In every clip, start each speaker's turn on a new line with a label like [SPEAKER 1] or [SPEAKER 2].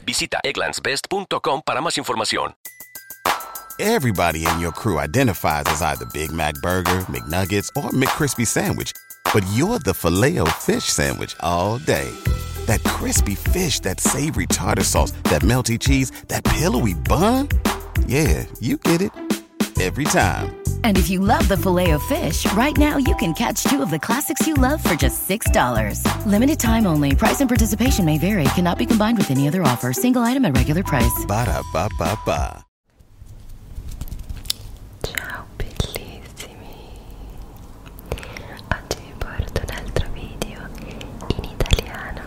[SPEAKER 1] Visit Visita egglandsbest.com para más información.
[SPEAKER 2] Everybody in your crew identifies as either Big Mac burger, McNuggets, or McCrispy sandwich, but you're the Fileo fish sandwich all day. That crispy fish, that savory tartar sauce, that melty cheese, that pillowy bun? Yeah, you get it every time.
[SPEAKER 3] And if you love the Fileo fish, right now you can catch two of the classics you love for just $6. Limited time only. Price and participation may vary. Cannot be combined with any other offer. Single item at regular price.
[SPEAKER 2] Ba da ba ba ba. Ciao bellissimi. Oggi porto un altro video in italiano.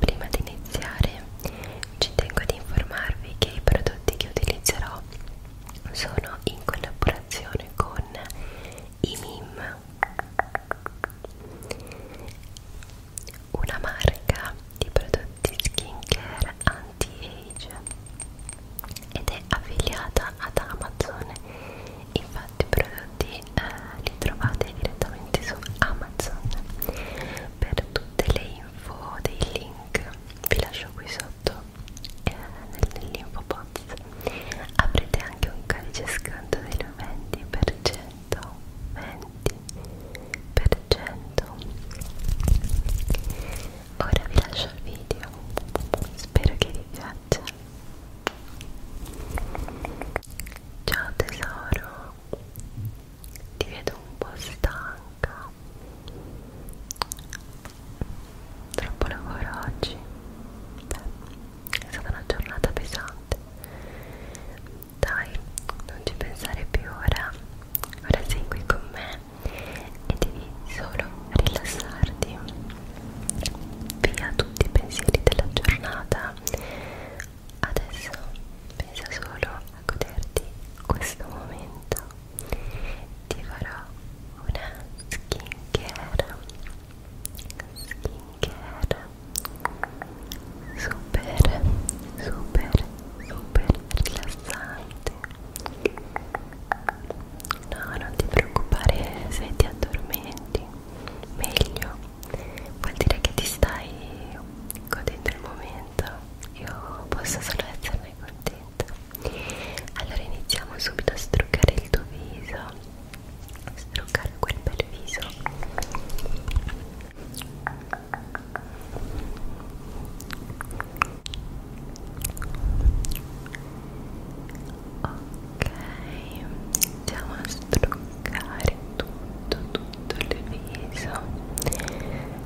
[SPEAKER 2] Prima di iniziare ci tengo ad informarvi che i prodotti che utilizzerò sono in collaborazione con i MIM una marca di prodotti skincare anti-age ed è affiliata ad Amazon infatti i prodotti eh, li trovate direttamente su Amazon
[SPEAKER 3] per tutte le info dei link vi lascio qui sotto sotto eh, nell'info box avrete anche un codice sconto del 20% 20% ora vi lascio il video spero che vi piaccia ciao tesoro ti vedo un po' stanca troppo lavoro oggi Beh, è stata una giornata pesante dai non ci pensare più ora ora sei qui con me e devi solo rilassarti via tutti i pensieri della giornata adesso pensa solo a goderti questo momento ti farò una skincare skincare super super super rilassante no non ti preoccupare se ti addormenti meglio vuol dire che ti stai godendo il momento io posso solo esserne con te momento allora iniziamo subito a struccare il tuo viso struccare quel bel viso ok andiamo a struccare tutto tutto il viso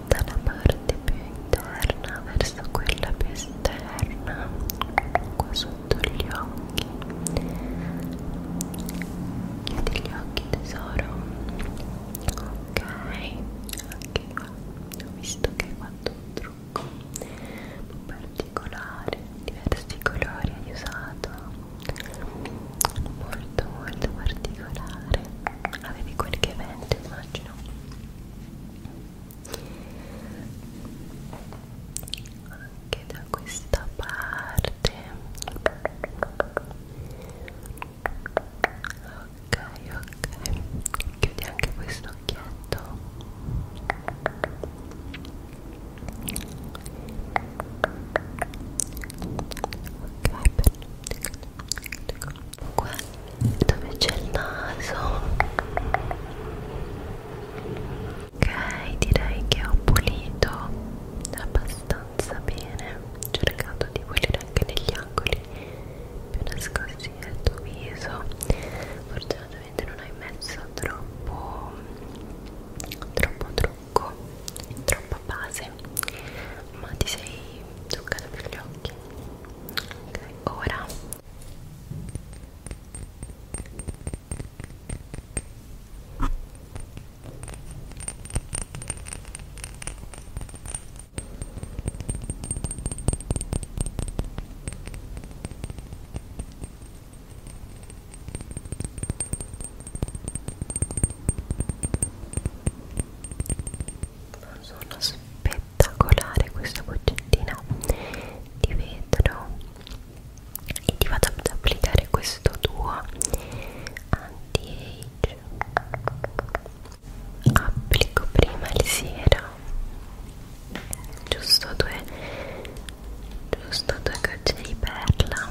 [SPEAKER 3] dalla parte più interna verso quella più esterna qua sotto gli occhi chiudi gli occhi tesoro ok anche qua ho visto che hai fatto un trucco particolare diversi colori hai usato molto molto particolare avevi qualche evento in immagino anche da questa parte ok ok chiudi anche questo occhietto ok perfetto qua dove c'è il naso ok direi che ho pulito abbastanza bene ho cercato di pulire anche negli angoli più nascosti del tuo viso fortunatamente non hai messo troppo troppo trucco troppa base mese ma ti sei zuccata per gli occhi ok ora ok sono spettacolare questa boccettina di vetro e ti vado ad applicare questo tuo anti-age applico prima il siero giusto due giusto due gocce di perla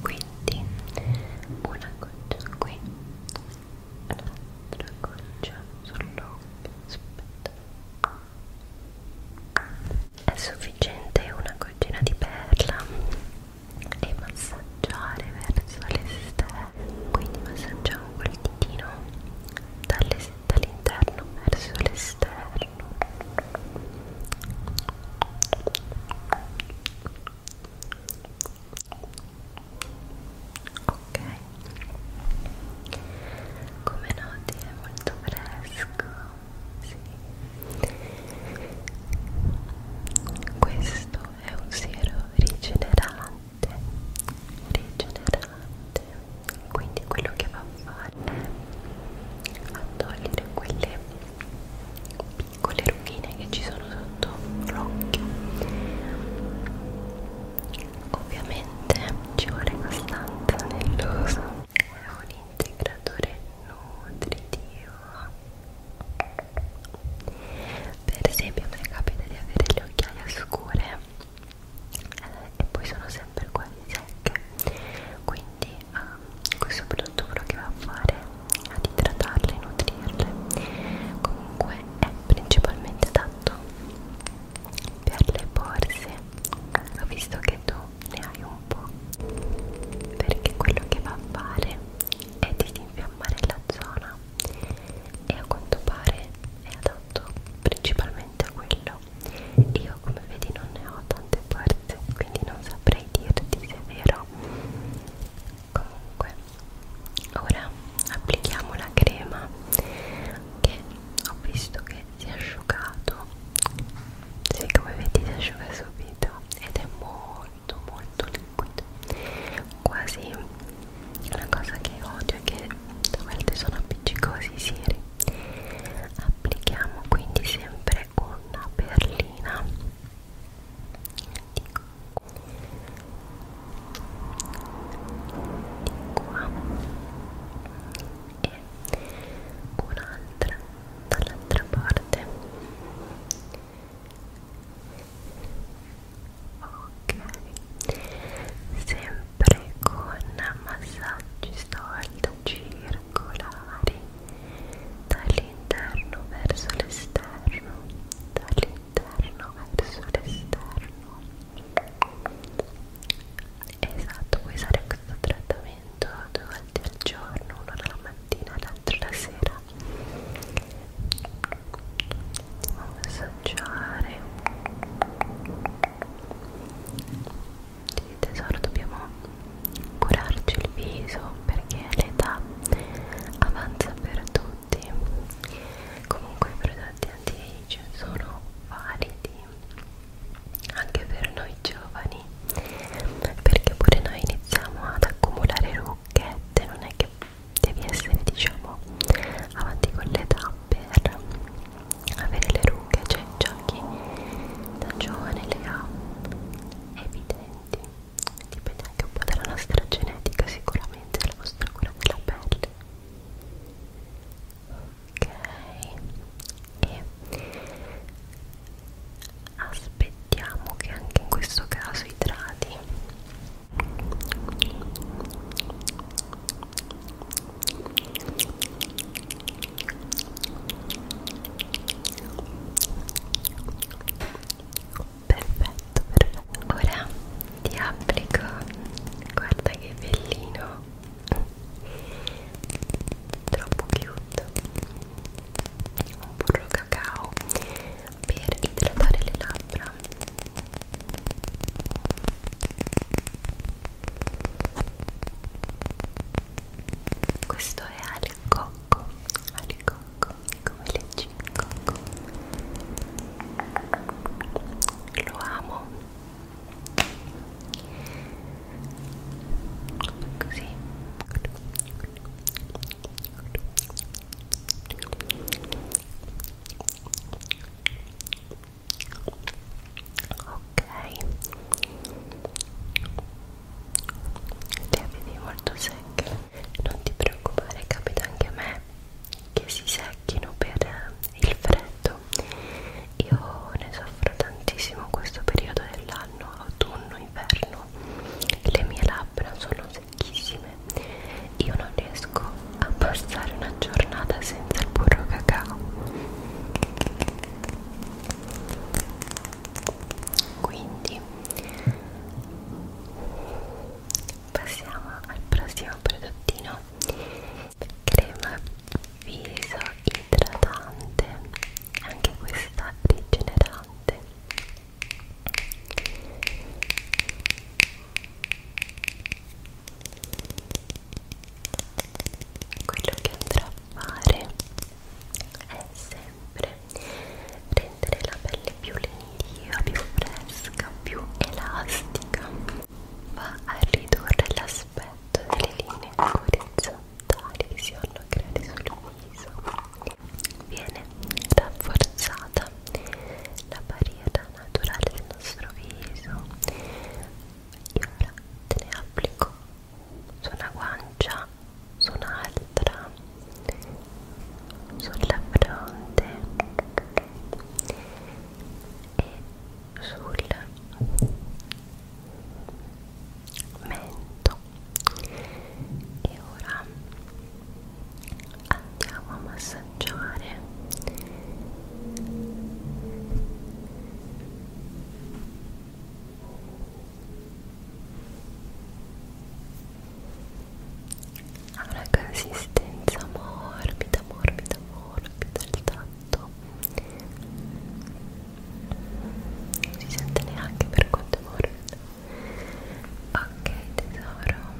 [SPEAKER 3] quindi una goccia qui l'altra goccia sull'occhio aspetta è sufficiente una goccina di perla e massaggiare verso l'esterno quindi massaggiamo col ditino dall'esterno dall'interno verso l'esterno
[SPEAKER 2] ok come noti è molto fresco sì. questo è un siero rigenerante rigenerante niente quindi quello che va a fare è a togliere quelle piccole rughine che ci sono sotto l'occhio ovviamente ci vuole costanza nell'uso è un integratore nutritivo per esempio a me capita di avere le occhiaie scure eh, e poi sono sempre quasi secche quindi eh, questo prodotto quello che va a fare è ad idratarle e nutrirle comunque è principalmente adatto per le borse ho visto che tu ne hai un po' perché quello che va a fare è disinfiammare la zona e a quanto pare è adatto principalmente a quello io come vedi non ne ho tante forze quindi non saprei dirti se è vero comunque ora applichiamo la crema che ho visto che si è asciugato sì come vedi si asciuga subito ed è molto molto liquido quasi la cosa che odio è che a volte sono appiccicosi i siri a applichiamo quindi sempre una perlina di qua, di
[SPEAKER 3] qua. e un'altra dall'altra parte ok sempre sempre con massaggi sold circolari dall'interno verso l'esterno dall'interno verso l'esterno esatto puoi usare questo trattamento due volte al giorno uno la mattina e l'altro la sera massaggiare sì, tesoro, dobbiamo curarci il viso perché l'età avanza per tutti. Comunque, i prodotti anti-age sono validi anche per noi giovani perché pure noi iniziamo ad accumulare rugghette non è che devi essere diciamo avanti con l'età per avere le rughe, cioè già chi da giovane le ha evidenti, dipende anche un po' dalla nostra genetica, sicuramente dalla nostra cura della pelle. Ok, e aspettiamo che anche in questo caso idrati.
[SPEAKER 1] Perfetto, perfetto. Ora ti applico. Guarda che bellino. Troppo cute. Un burro cacao per idratare le labbra. Questo è Alicocco, Alicocco, come leggi Cocco.
[SPEAKER 3] Lo amo. Così ok le vedi molto secche non ti preoccupare capita anche a me che si secchino per eh, il freddo io ne soffro tantissimo in questo periodo dell'anno autunno inverno le mie labbra sono secchissime io non riesco a passare una giornata senza il burro cacao quindi passiamo al prossimo prodottino crema viso idratante anche questa rigenerante quello che andrò a fare è sempre rendere la pelle più leniva, più fresca, più elastica va a ridurre l'aspetto delle linee orizzontali che si vanno a creare sul viso viene rafforzata la barriera naturale del nostro viso e ora te ne applico su una guancia su un'altra sulla fronte e sul mento e ora andiamo a massaggiare ha una consistenza morbida morbida morbida il tatto non si sente neanche per quanto è morbido ok tesoro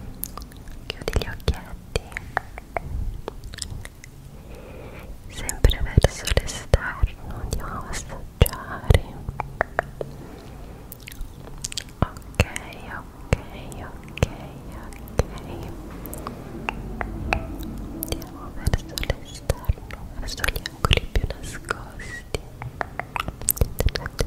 [SPEAKER 3] chiudi gli occhietti sempre verso l'esterno andiamo a massaggiare ok ok ok ok andiamo verso l'esterno verso gli angoli più nascosti ok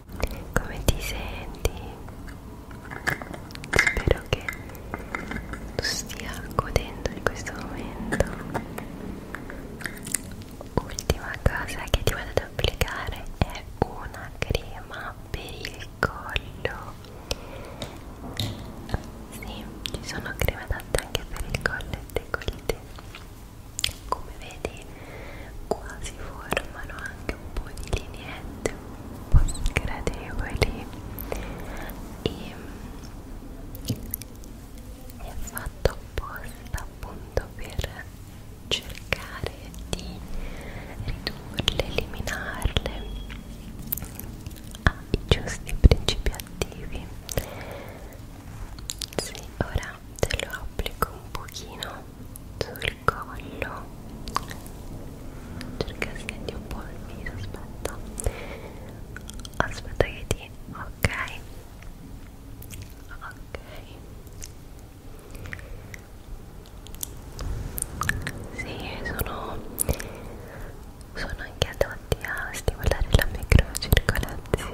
[SPEAKER 3] come ti senti? Spero che tu stia godendo di questo momento. Ultima cosa che ti vado ad applicare è una crema per il collo. Sì, ci sono creme adatte
[SPEAKER 1] anche per il collo e il decollete. Come vedi quasi formano anche un po' di lineette un po' sgradevoli e mm, è fatto apposta appunto per cercare di ridurle, eliminarle ai giusti principi attivi sì, ora te lo applico un pochino sul collo cerca stendi un po' il viso aspetta aspetta che ti ok ok sì sono sono anche adatti a stimolare la microcircolazione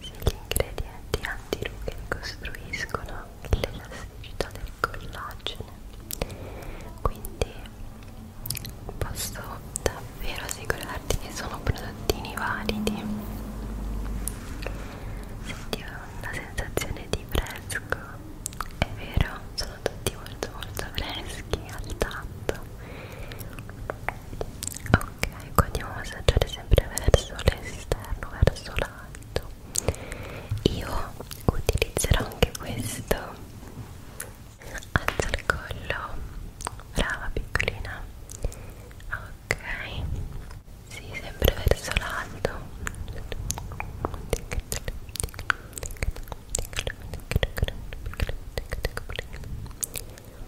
[SPEAKER 1] se gli ingredienti antirughe ricostruiscono l'elasticità del collagene quindi posso davvero assicurarti che sono prodottini validi senti una sensazione di fresco è vero sono tutti molto molto freschi al tatto ok qua andiamo a massaggiare sempre verso l'esterno verso l'alto io utilizzerò anche questo alza il collo brava piccolina ok si sì, sempre verso l'alto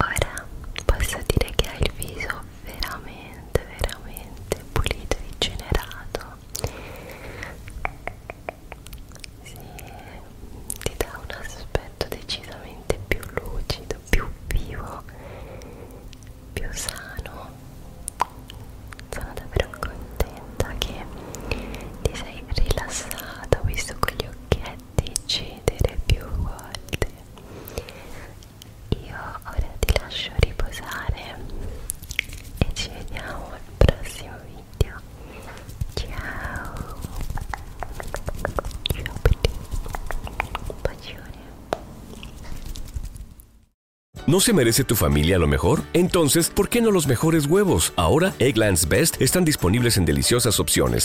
[SPEAKER 1] Ora posso dire che hai il viso veramente, veramente pulito e rigenerato. Sì, ti dà un aspetto decisamente più lucido, più vivo, più sano. Sono davvero contenta che ti sei rilassata, ho visto con gli occhietti cedere più volte Yo te te doy ¿No se merece tu familia lo mejor? Entonces, ¿por qué no los mejores huevos? Ahora, Egglands Best están disponibles en deliciosas opciones